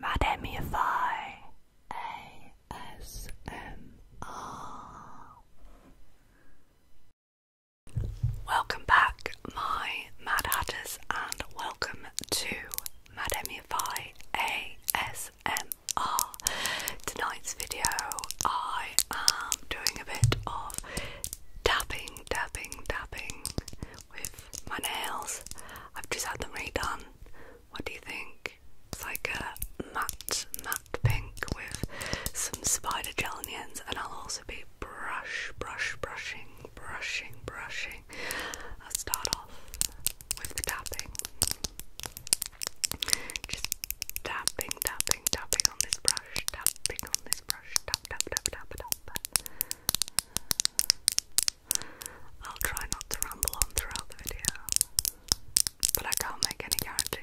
Madamify ASMR. Welcome back, my Mad Hatters, and welcome to Madamify ASMR. Tonight's video, I am doing a bit of tapping, tapping, tapping with my nails. I've just had them redone. What do you think? It's like a matte, matte pink with some spider gel in the ends, and I'll also be brush, brush, brushing, brushing, brushing. I'll start off with the tapping. Just tapping, tapping, tapping on this brush, tapping on this brush, tap, tap, tap, tap, tap. I'll try not to ramble on throughout the video, but I can't make any guarantees.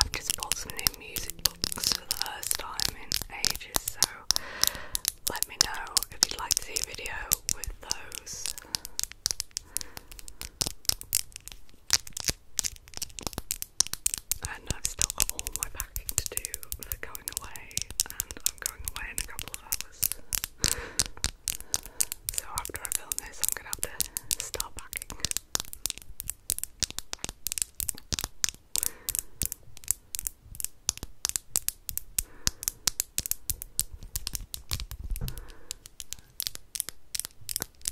I've just bought some new music books for the first time in ages, so let me know if you'd like to see a video with those and I've still got all my packing to do for going away, and I'm going away in a couple of hours. so after I film this, I'm gonna have to start packing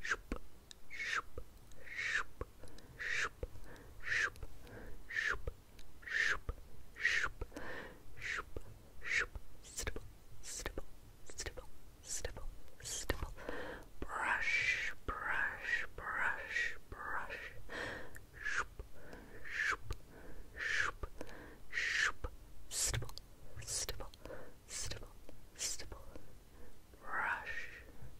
shoop, shoop, shoop, shoop, shoop, shoop, shoop, shoop, shoop, shoop, stipple, stipple, stipple, stipple, stipple, brush, brush, brush, brush, shoop, shoop, shoop, shoop, stipple, stipple, stipple, stipple, brush,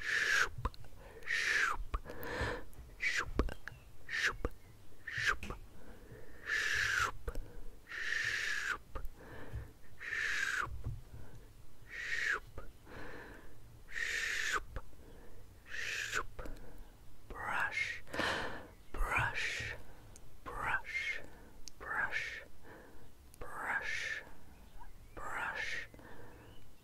shoop, shoop, shoop, shoop, shoop, shoop, shoop, shoop, shoop, shoop, shoop, brush, brush, brush, brush, brush, brush,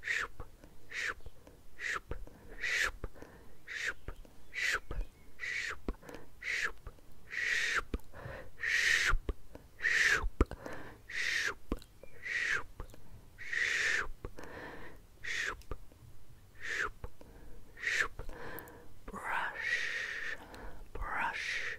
shoop, shoop, shoop, shoop, shoop, shoop, shoop, shoop, shoop, shoop, shoop, shoop, shoop, shoop, shoop, shoop, shoop, brush, brush,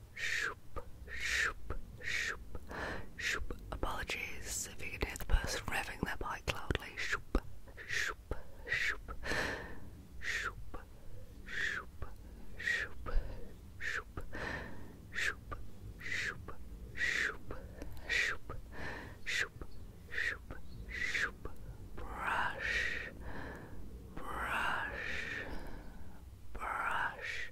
Shoop, shoop, shoop, shoop. Apologies if you can hear the person revving their bike loudly. Shoop, shoop, shoop, shoop, shoop, shoop, shoop, shoop, shoop, shoop, shoop, shoop, shoop, shoop. Brush, brush. Brush,